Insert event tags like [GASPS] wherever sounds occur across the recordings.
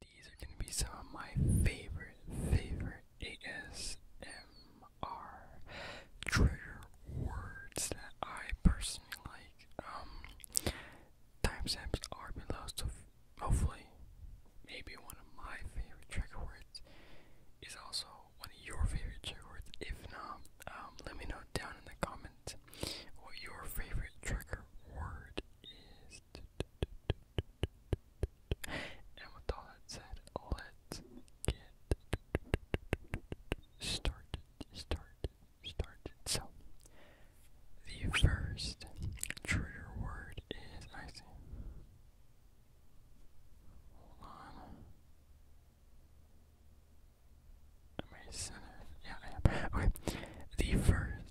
These are going to be some of my favorite, favorite ASMR trigger words that I personally like. Um, timestamps are below, so hopefully, maybe one of my favorite trigger words is also one of your favorite trigger words. If not, um, let me know down in the comments what your favorite trigger word is. And with said, let's get started, started, started. So, the first trigger word is icy. Hold on. Am I centered? Yeah, I am. Okay. The first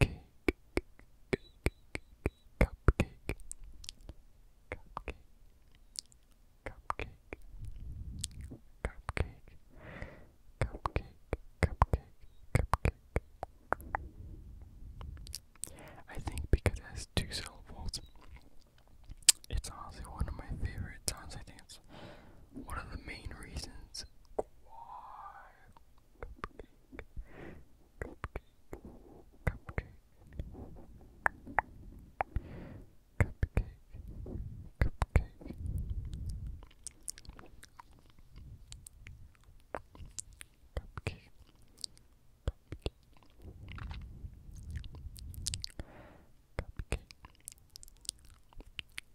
cake, cupcake, cupcake, cupcake, cupcake, cupcake, cupcake, cupcake. I think because it has two syllables, it's honestly one of my favorite sounds. I think it's one of the main reasons cupcake, cupcake, cupcake, cupcake, cupcake. Cupcake. Cupcake. Cupcake.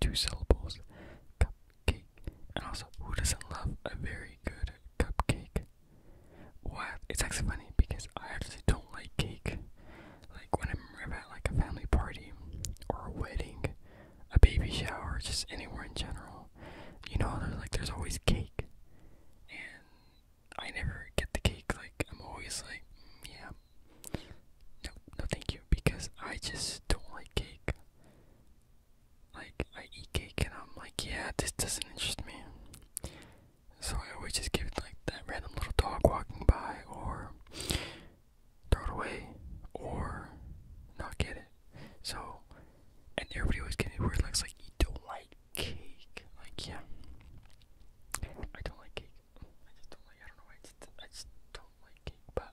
two syllables, cupcake. And also, who doesn't love a very good cupcake? Well, It's actually funny because I actually don't like cake. Like when I'm at like a family party or a wedding, a baby shower, just anywhere in general, you know, there's like there's always cake, and I never get the cake. Like I'm always like, mm, yeah, no, no, thank you, because I just don't like cake like I eat cake and I'm like, yeah, this doesn't interest me. So I always just give it like that random little dog walking by, or throw it away, or not get it. So, and everybody always gets weird looks like you don't like cake. Like yeah, I don't like cake. I just don't like. I don't know. I just I just don't like cake. But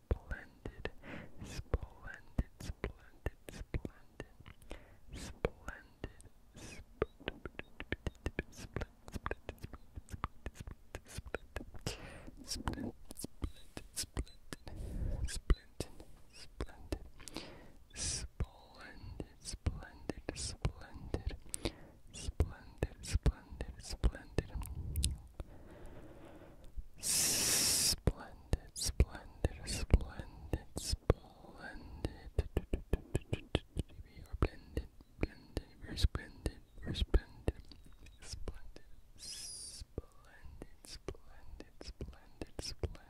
splendid, splendid, splendid, splendid, splendid, split, split, split, split, split, split, splendid, splendid, splendid, splendid, splendid, splendid, splendid, splendid, Splendid, splendid, splendid, splendid. We are blended, blended, we're splendid, we're splendid, splendid, splendid, splendid, splendid, splendid. Splendid,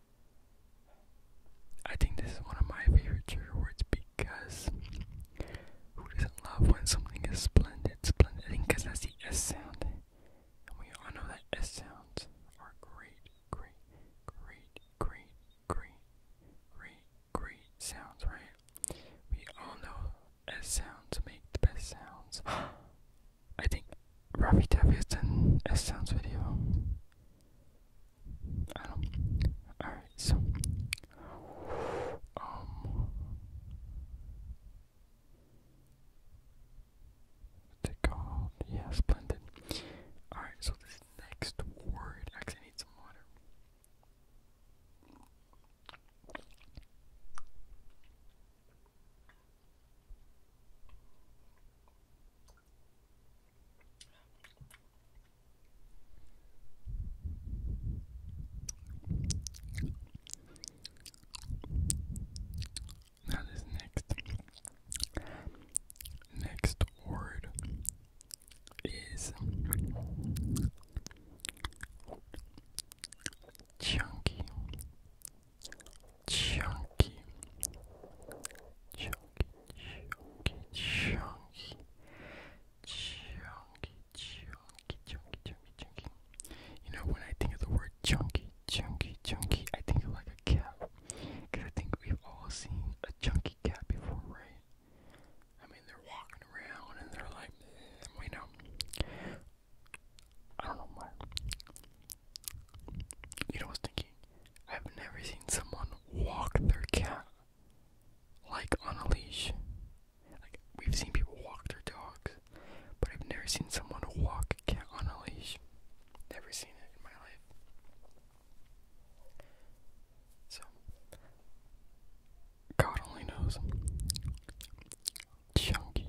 I think this is one of my favorite trigger words because who doesn't love when something is splendid? Splendid, I think because that's the S sound. And we all know that S sounds are great, great, great, great, great, great, great sounds, right? We all know S sounds make the best sounds. [GASPS] I think Ravi Davis and S sounds video. I don't. Alright, so. Um. What's it called? Yeah, splendid. Alright, so this next word. Actually, need some water. Now this next next word is chunky chunky, chunky, chunky, chunky, chunky, chunky, chunky, chunky, chunky. You know, when I think of the word chunky, chunky, chunky, I think of like a cat. Cause I think we've all seen a chunky cat before, right? I mean, they're walking around and they're like, eh, you know. I don't know why. You know, I was thinking, I've never seen someone walk their cat like on a leash. Like, we've seen people walk their dogs, but I've never seen someone walk a cat on a leash. Never seen it in my life. So, God only knows. Chunky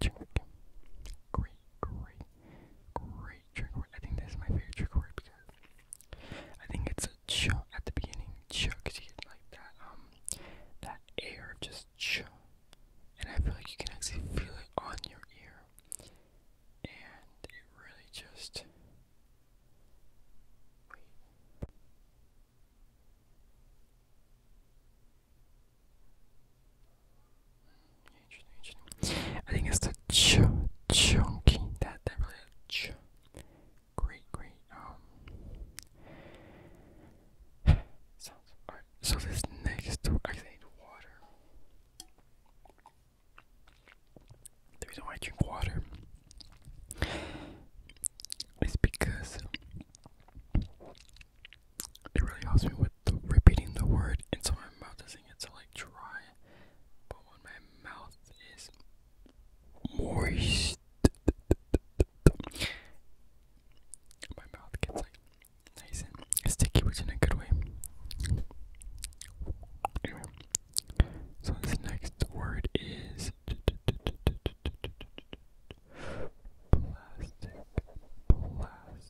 Great, great, great trick word. I think this is my favorite trick word because I think it's a ch at the beginning. Ch, you get like that, um, that air just ch. And I feel like you can actually feel it on your ear. And it really just. I think it's the ch chunky that that really ch great great um So this next I guess water. The reason why I drink water is because it really helps me with repeating the word inside my mouth doesn't get so like dry. But when my mouth is moist my mouth gets like nice and sticky which in a good way. So this next word is plastic plastic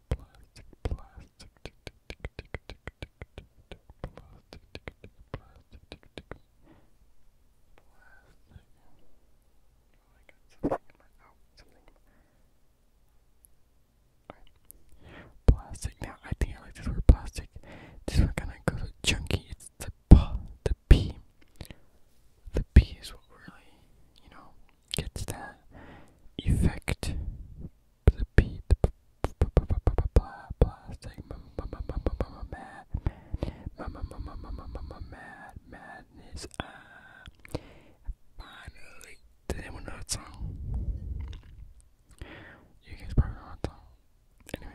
plastic, plastic, tick, tick, tick, tick, plastic, plastic, plastic. plastic. Now I think I like this word plastic. This one kind of goes chunky. It's the p, the p. The p is what really, you know, gets that effect. The beat, the plastic, mad, mad, madness. Uh, finally, did anyone know that song? You guys probably know that Anyway.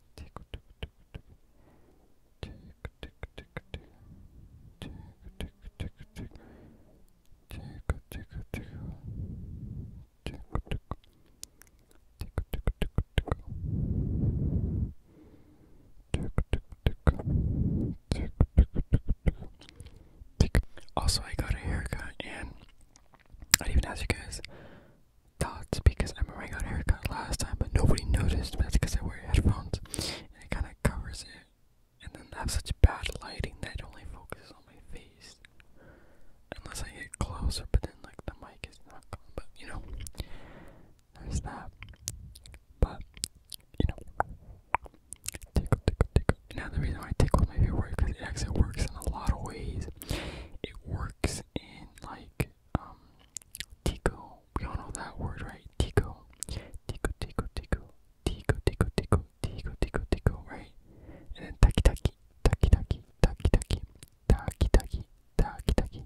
Also, I got a haircut, and I didn't even ask you guys thoughts because I'm wearing out haircut last time, but nobody noticed. that's because I wear headphones, and it kind of covers it. And then I have such bad lighting that it only focuses on my face, unless I get closer. But then like the mic is not But you know, there's that. But you know, tickle, tickle, tickle. Now reason why I tickle my favorite because it actually works in a lot of ways. It works in like um, tickle Tico. We all know that word, right? Tico. Tico, Tico, Tico. Tico, Tico, Tico. Tico, Tico, Tico, right? And then Taki Taki. Taki Taki. Taki Taki. Taki Taki. Taki Taki.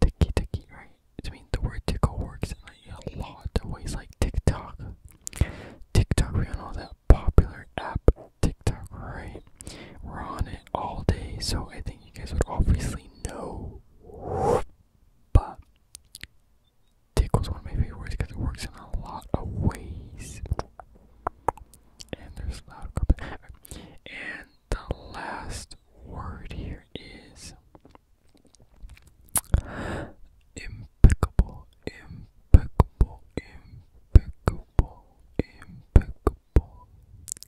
Taki Taki, right? I mean, the word tickle works in like a lot of ways, like TikTok. TikTok, we all know that popular app, TikTok, right? We're on it all day, so I think you guys would obviously know but Tickle's one of my favorite words because it works in a lot of ways. And there's loud carpet. And the last word here is impeccable, impeccable, impeccable, impeccable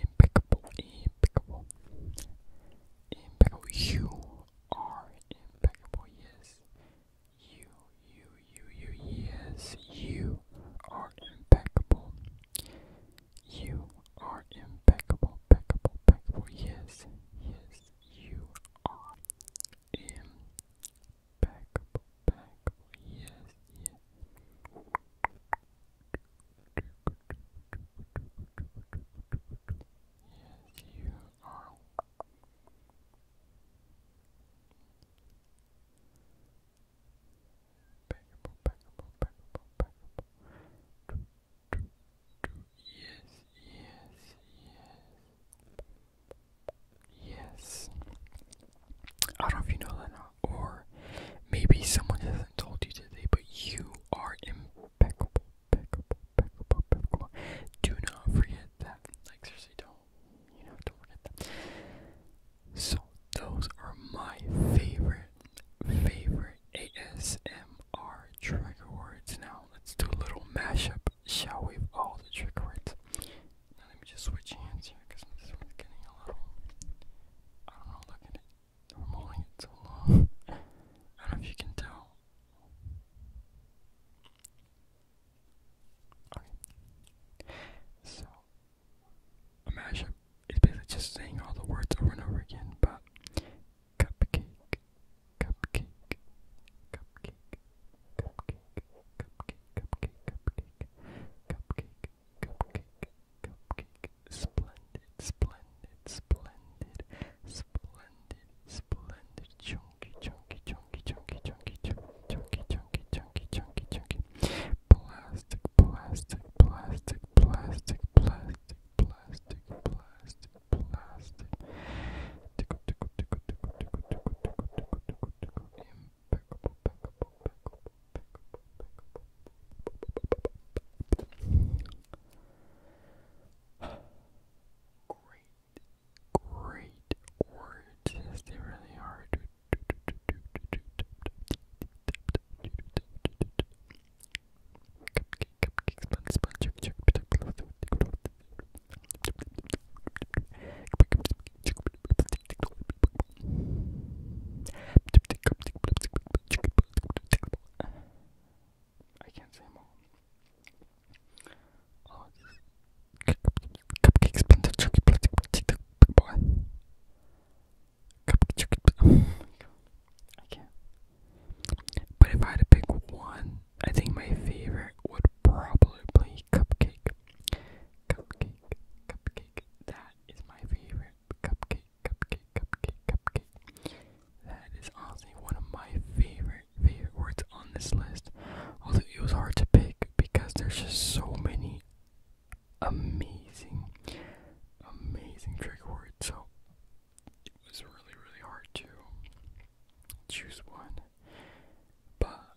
impeccable, impeccable, impeccable. You are impeccable, yes. You, you, you, you, yes. You are impeccable. You are impeccable, impeccable, impeccable, yes, yes. You are impeccable, impeccable, yes, yes. Yes, you are. Packable, packable, packable, packable. Yes, yes, yes. Yes. I don't know if you know that now or maybe someone hasn't told you today, but you are impeccable, Do not forget that. Like seriously, don't you know? Don't forget that. So those are my favorite, favorite ASMR trigger words. Now let's do a little mashup, shall we? all the trigger words. let me just switch hands here because this one's getting a little. I don't know. Look at it. I'm holding it so long. I don't know if you can tell. So a mashup is basically just saying all the words over and over again, but cupcake, cupcake, cupcake, cupcake, cupcake, cupcake, cupcake, cupcake, cupcake, cupcake, splendid, splendid, splendid, splendid, splendid, chunky, chunky, chunky, chunky, chunky, chunky, chunky, chunky, chunky, chunky, plastic, plastic, plastic, plastic, plastic, plastic, plastic, plastic, tickle, tickle, tickle, tickle, tickle, tickle, tickle, tickle, tickle, impeccable, impeccable, impeccable, Great, great words. Yes, they really are. Cupcake, cupcake, sponge, sponge, chug, chug, I can't say more. all. Oh, cupcakes, plenty boy. Cupcake, chocolate. Oh I can't. But if I had to pick one, I think my favorite would probably cupcake. Cupcake, cupcake. That is my favorite. Cupcake, cupcake, cupcake, cupcake. That is also one of my favorite, favorite words on this list. Although it was hard to pick because there's just so many amazing, amazing trigger words. So it was really, really hard to choose one. But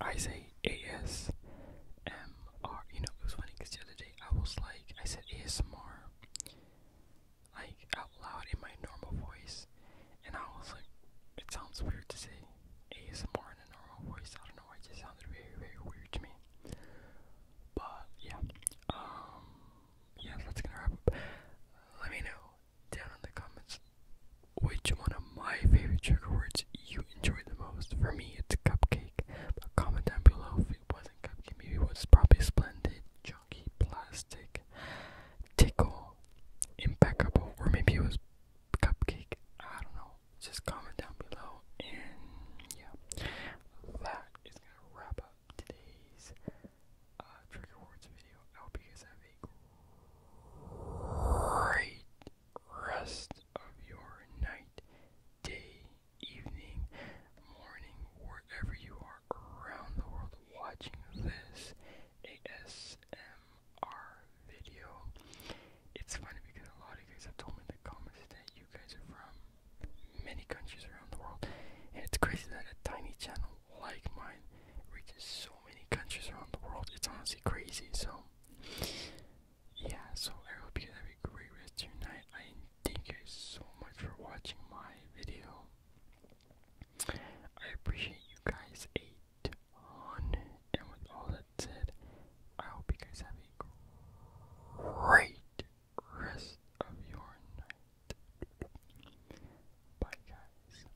I say ASMR. You know, it was funny because the other day I was like, I said ASMR, like out loud in my normal voice, and I was like, it sounds weird to say ASMR in a normal voice. I don't know, it just sounded very, very weird to me. But yeah, um, yeah, that's gonna wrap up. Let me know down in the comments which one of my favorite trigger words you enjoyed the most. For me, it's cupcake, but comment down below if it wasn't cupcake. Maybe it was probably splendid, chunky, plastic, tickle, impeccable, or maybe it was cupcake. I don't know. Just comment down below, and yeah, that is gonna wrap up today's uh, trigger words video. I hope you guys have a great rest of your night, day, evening, morning, wherever you are around the world watching this ASMR video. It's funny because a lot of you guys have told me in the comments that you guys are from many countries around the world, and it's crazy that a tiny channel like mine reaches so many countries around the world. It's honestly crazy. So, yeah, so I hope you have a great rest of your night. I thank you guys so much for watching my video. I appreciate you guys 800. And with all that said, I hope you guys have a great rest of your night. Bye, guys.